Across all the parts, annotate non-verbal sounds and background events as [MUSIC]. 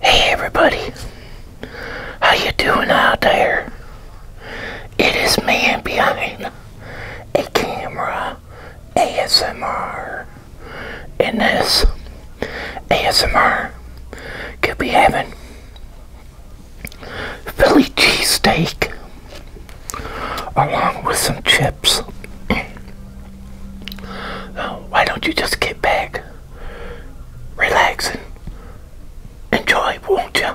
Hey everybody, how you doing out there? It is man behind a camera ASMR. and this ASMR, could be having Philly cheesesteak along with some chips. Oh, why don't you just get back, relax, and enjoy, won't you?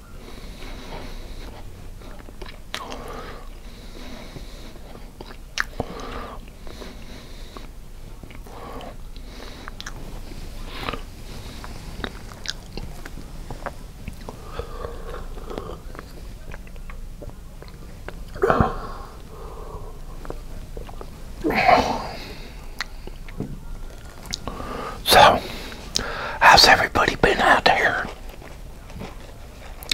So, how's everybody been out there?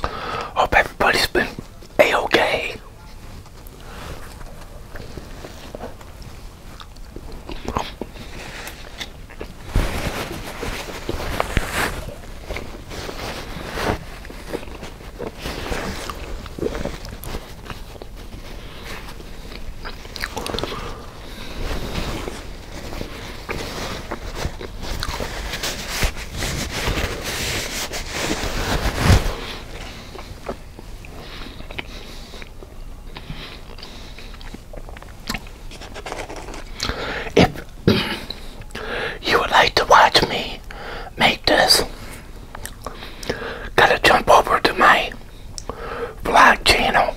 Hope everybody's been a-okay. If you would like to watch me make this, gotta jump over to my vlog channel.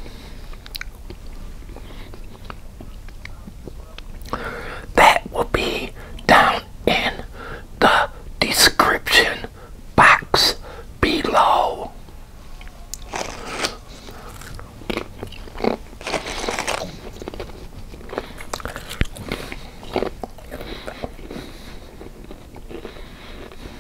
That will be down in the description box below.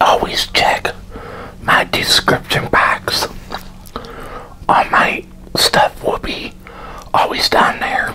Always check my description box on my stuff will be always down there.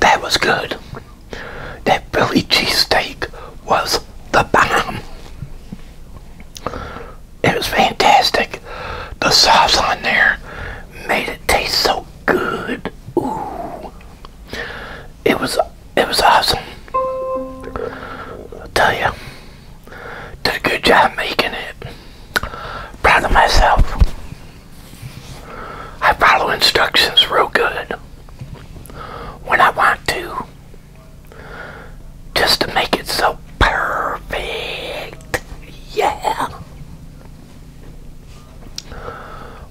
That was good. That Philly steak was the bomb it was fantastic. The sauce on there made it taste so good. Ooh. It was it was awesome. I'll tell you. Did a good job making it. Proud of myself. I follow instructions real good when I want to just to make it so perfect. Yeah.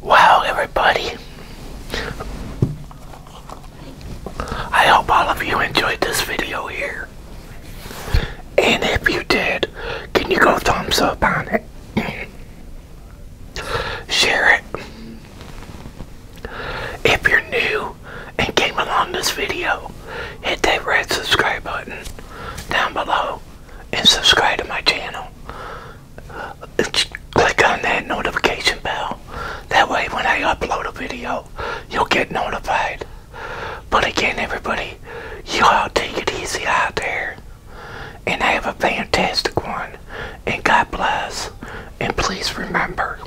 Wow, everybody. I hope all of you enjoyed this video here. And if you did, can you go thumbs up on it? [LAUGHS] Share it. If you're new and came along this video, hit that red subscribe button down below and subscribe to my channel. Click on that notification bell. That way when I upload a video, you'll get notified. But again, everybody, you all take it easy out there. And have a fantastic one and God bless. And please remember,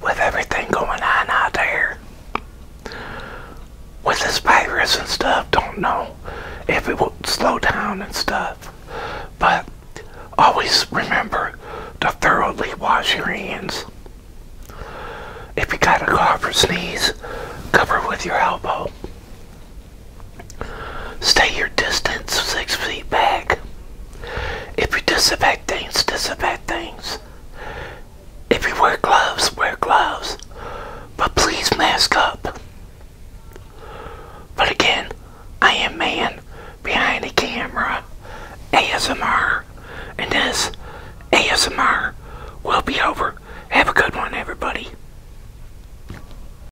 with everything going on out there, with this virus and stuff, don't know if it will slow down and stuff. But always remember to thoroughly wash your hands. If you got a cough or sneeze, cover with your elbow. Stay your distance six feet back. If you disinfect things, disinfect things. If you wear gloves, wear gloves. But please mask up. But again, I am man behind the camera, ASMR, and this ASMR will be over. Have a good one, everybody.